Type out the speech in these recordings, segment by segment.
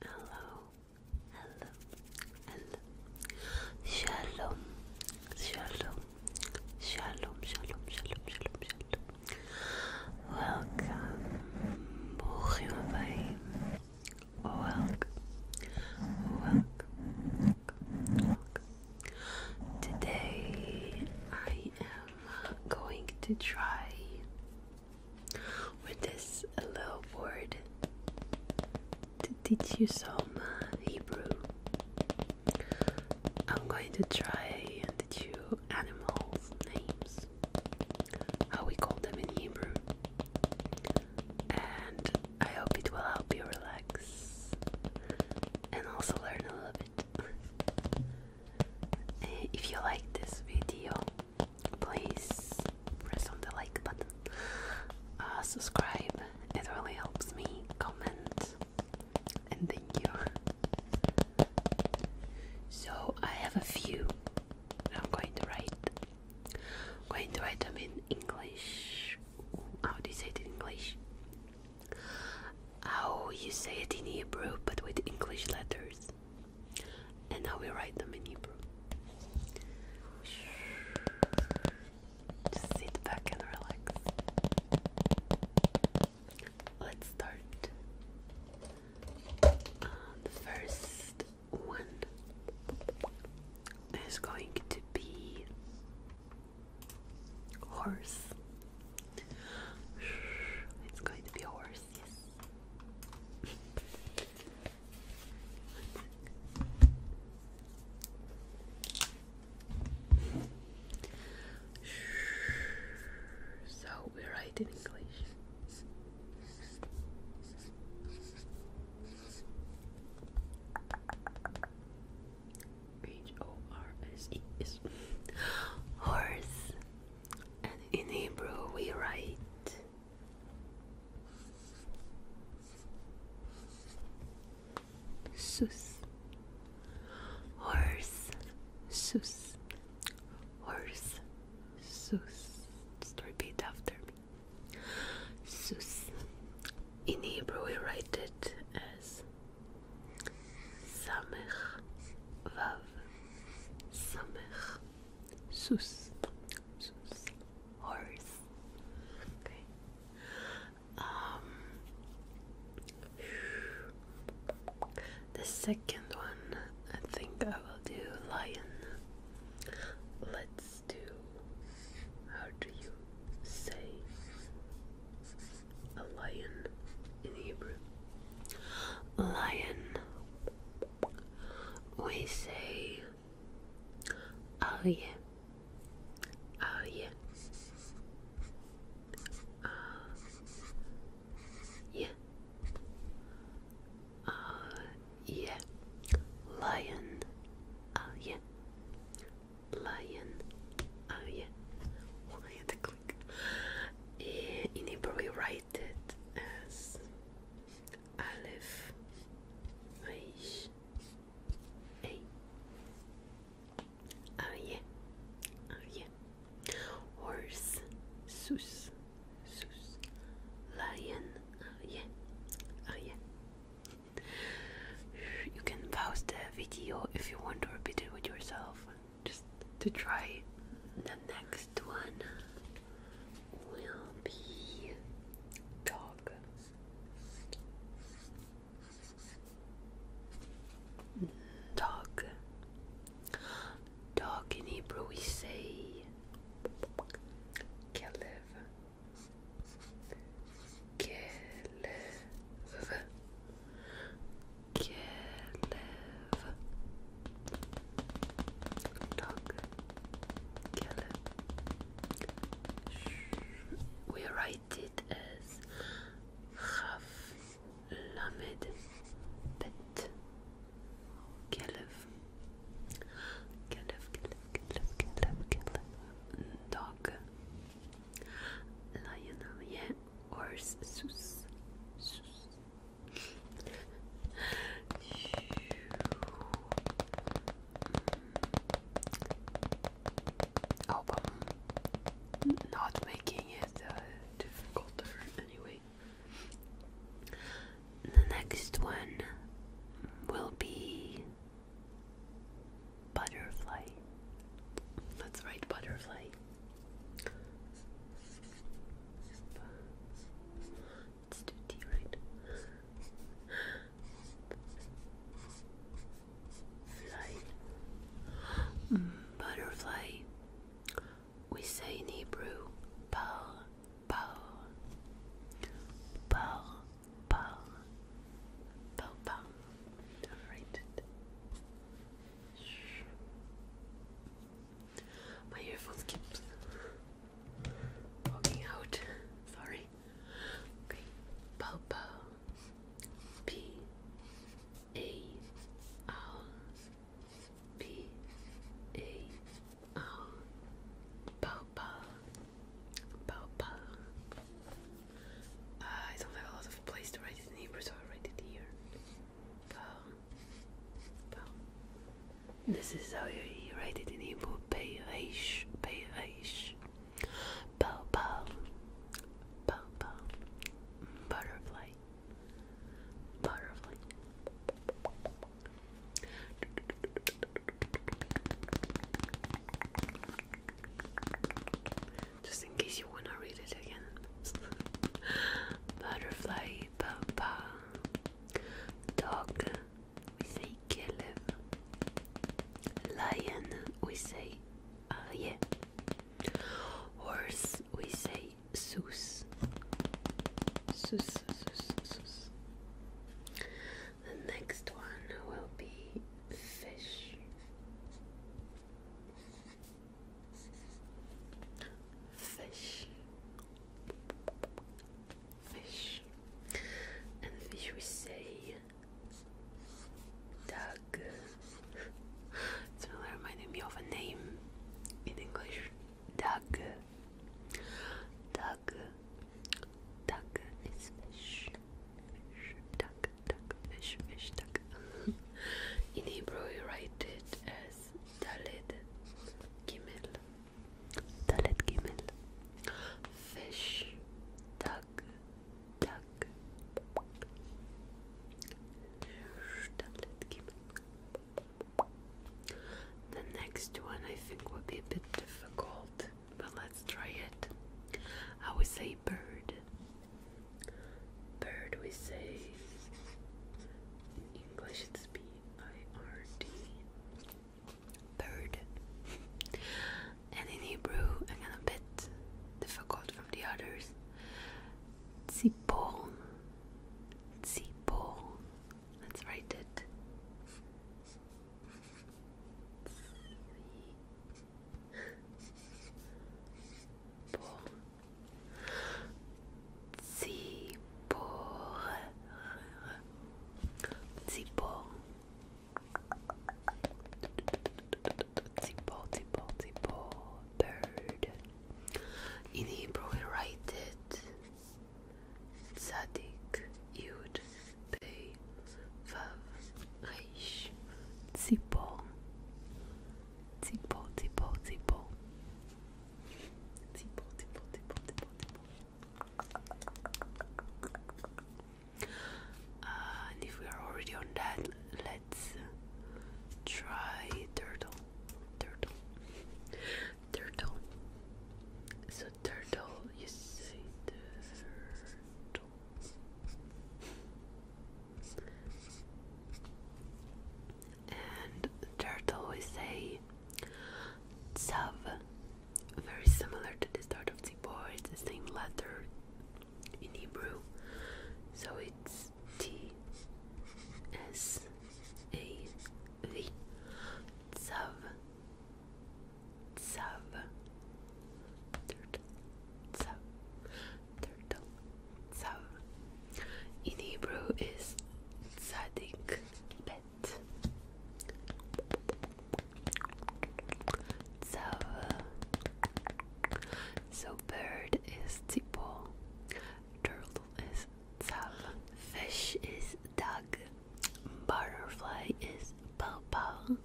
Hello, hello, hello. Shalom, shalom, shalom, shalom, shalom, shalom, shalom. Welcome, Bochim Abayim. Welcome, welcome, welcome, welcome. Today I am going to try with this little board to teach you some uh, Hebrew. I'm going to try and teach you animals' names, how we call them in Hebrew, and I hope it will help you relax and also learn a little bit. Eh, if you like this video, please press on the like button, uh, subscribe, it really helps me. Comment, and thank you. So, I have a few I'm going to write. I'm going to write them in English. How do you say it in English? How you say it in Hebrew but with English letters and now we write them in Hebrew. Just sit back and relax. Let's start. Uh, the first one is going to be horse. It's going to be horse, yes. So we write in English. H O R S E is horse and in Hebrew we write Sus Horse Sus Horse Sus Just repeat after me Sus In Hebrew we write it as Samech Vav Samech Sus Sus Horse Okay Um The second one I think I will do lion Let's do how do you say a lion in Hebrew. Lion. We say Aryeh. Aryeh. Aryeh. Aryeh. Lion. Aryeh. Lion. Aryeh. Lion click. we eh, write it as Aleph Aish A. Ah, ah, horse, Sus, Sus, lion, Aryeh, ah, Aryeh. You can pause the video if you want to repeat it with yourself just to try the next one will be dog dog dog in Hebrew we say Kelev Kelev Kelev Dog Kelev We write it as Khaf Lamed Bet Kelev Kelev Kelev Kelev Kelev Kelev Dog Lion yeah or sus. Hmm. not making it uh, anyway. The next one will be butterfly. That's right, butterfly. Let's T, right? Fly. butterfly. We say in Hebrew, par, par, par, par, par, par. Alright. My earphone keeps poking out. Sorry. Okay. Papa. P. A. Papa. Papa. Uh, I don't have a lot of place to write in Hebrew, so I write it here. This is how you write it in Hebrew. Peish. Peish. Pow pow. Pow pow. Butterfly. Butterfly. Just in case you wanna read it again. Butterfly Papa Dog we say Caleb Lion we say uh, Ariel Horse we say Zeus Zeus Zeus Zeus The next one will be fish Fish. Fish. And fish we say duck. it's really me of a name in English. Duck. Duck. Duck is fish fish, duck, duck, fish, fish, duck. In Hebrew, we write it as Dalet Gimel. Dalet Gimel. Fish, duck, duck. Dalet Gimel. The next one I think would be a bit difficult, but let's try it. I would say bird. Bird we say in English it's B I R D. Bird. and in Hebrew I'm again a bit difficult from the others. Tzipor. Tzipor. Let's write it. Pour. Zipore. Zipore. Zipore, Zipore, Zipore. Bird. In Hebrew we write it. Zadik Yud Reich, Zippo, Zippo, Zippo, Zippo, Zippo, Zippo, Zippo, Zippo, if we are already on that, let's try turtle, turtle, turtle turtle, you say the turtle. And turtle, we say tsav. Very similar to the start of tzipor, it's the same letter in Hebrew. So it's T S A V. Tzav. Sub Turtle Sub Turtle Sub In Hebrew is Tzadik Bet Tzav So bird is Tzipol Turtle is Tzav Fish is Dug Butterfly is Papa.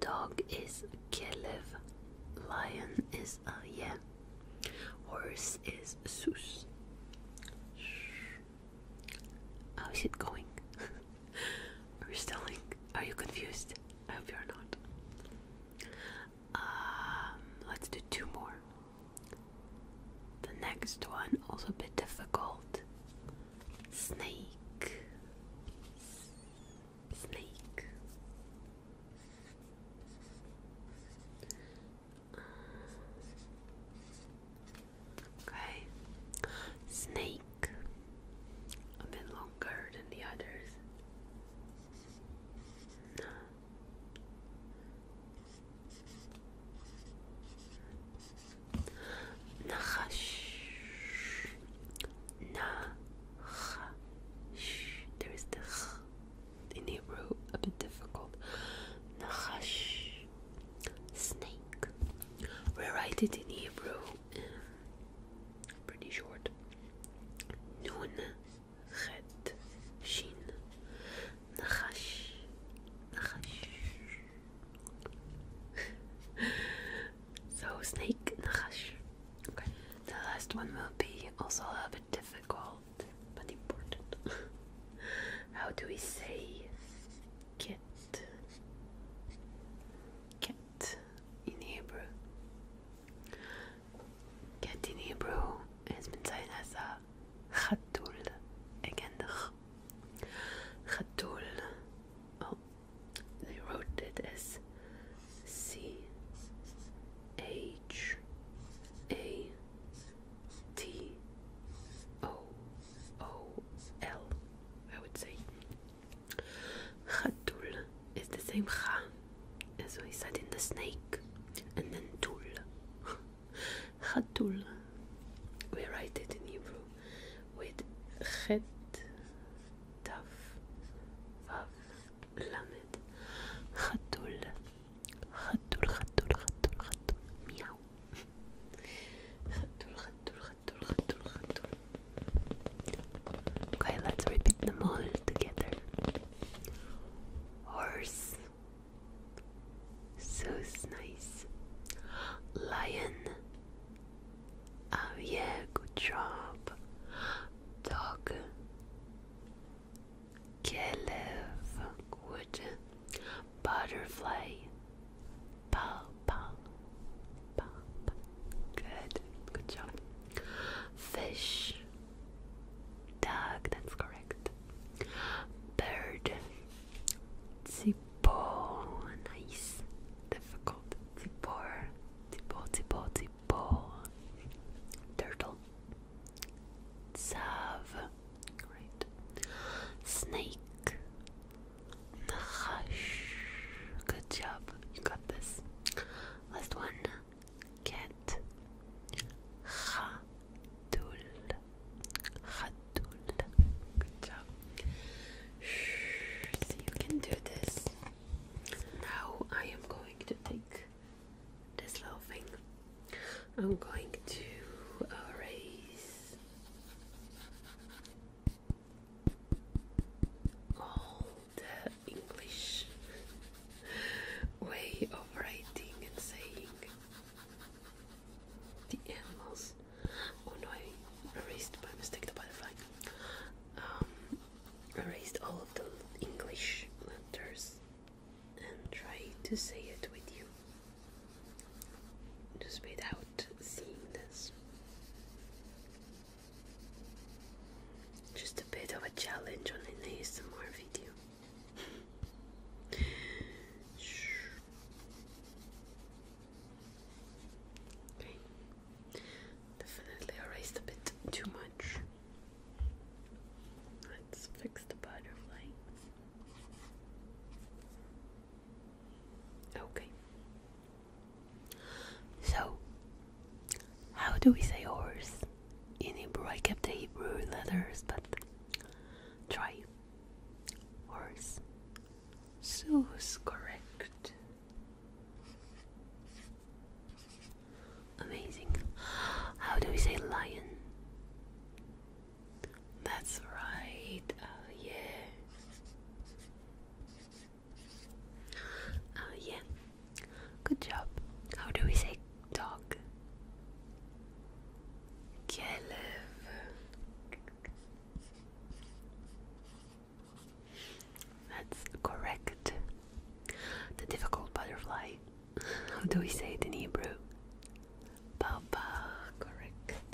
Dog is Kelev. Lion is Aye. Uh, Horse is Sus. How's it going? Are you stalling? Are you confused? I hope you're not. Um, let's do two more. The next one, also a bit difficult snake, snake. Okay, snake, a bit longer than the others. Nachash. Nachash. There is the ch in Hebrew, a bit difficult. Nachash. Snake. We write it in Hebrew. Pretty short. Nun. Chet. Shin. Nachash. Nachash. so snake in the hush. Okay. The last one will be also a little bit difficult but important. How do we say kit? Ket in Hebrew. Ket in Hebrew has been said as a chatul. Again, the Khatul. Oh, they wrote it as C H A T O O L. I would say Khatul is the same Kha as we said in the snake, and then Tul. خدول we write it in Hebrew with خد تف فاف لمد خدول خدول خدول خدول خدول مياو خدول خدول خدول خدول خدول Okay, let's repeat them all together. Horse, So nice. Lion. Oh yeah, good job. Dog. Calf. Good. Butterfly. Pow, pow, pow, Good. Good job. Fish. Dog, that's correct. Bird. Zip, tipo, nice, difficult, tipo, tipo, tipo, tipo, turtle, Sav, great, snake, Nahash, good job, you got this. Last one, cat, ha, Khatul. Khatul. Good job. you can do this. Now I am going to take this little thing. I'm going to erase uh, all the English way of writing and saying the animals. Oh I erased by mistake the butterfly. Um, erased all of the English letters and try to say it with you. Just without seeing this. Just a bit of a challenge on an ASMR video. Definitely erased a bit too much. Let's fix the butterflies. Okay. So, how do we say horse in Hebrew? I kept the Hebrew letters, but try. Horse. Soos, correct. Amazing. How do we say lion? That's right. Oh, yeah. Oh, yeah. Good job. How do we say dog Kelv That's correct. The difficult butterfly. How do we say it in Hebrew? Papa, correct.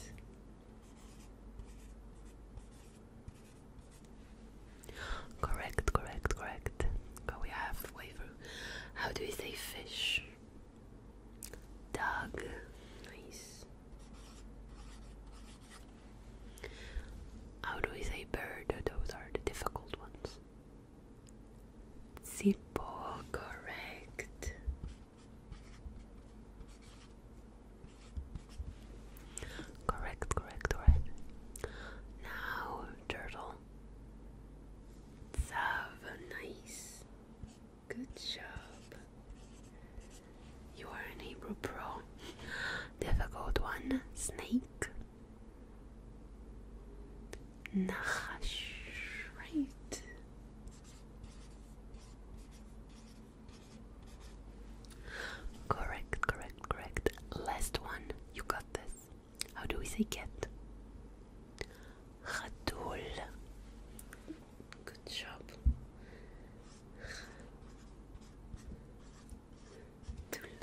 Correct, correct, correct. Go we halfway through. How do we say fish? Doug. Nice. How do we say bird? Those are the difficult ones. Zippo, correct. Correct, correct, correct. Now, turtle. Sava, nice. Good job. You are an Hebrew pro. Difficult one. Snake. Nachash. Right. Correct, correct, correct. Last one. You got this. How do we say cat? Ratul. Good job. Ratul.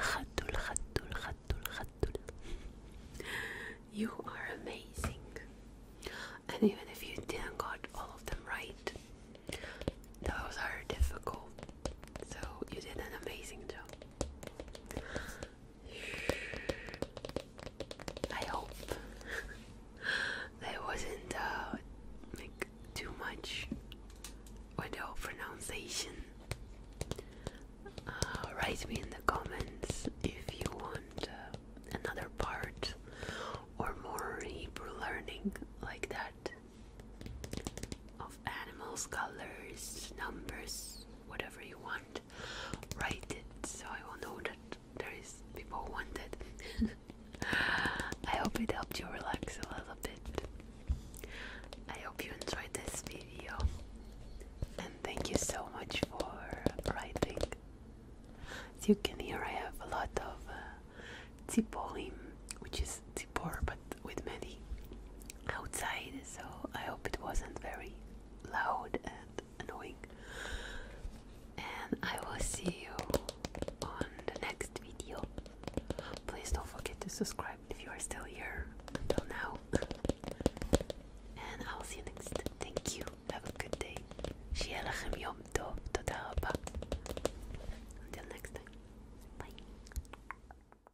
Ratul, ratul, ratul, You are amazing. And even if you didn't got all of them right, those are difficult. So you did an amazing job. I hope that wasn't uh, like too much with pronunciation. Uh, write me in the comments if you want uh, another part or more Hebrew learning like that animals, colors, numbers, whatever you want. Write it so I will know that there is people who want it. I hope it helped you relax a little bit. I hope you enjoyed this video. And thank you so much for writing. As you can hear, I have a lot of uh, tzipolim, which is but with many outside, so I hope it wasn't very loud and annoying. And I will see you on the next video. Please don't forget to subscribe if you are still here until now. and I'll see you next. Thank you. Have a good day. שיהיה לכם יום טוב. תודה Until next time. Bye.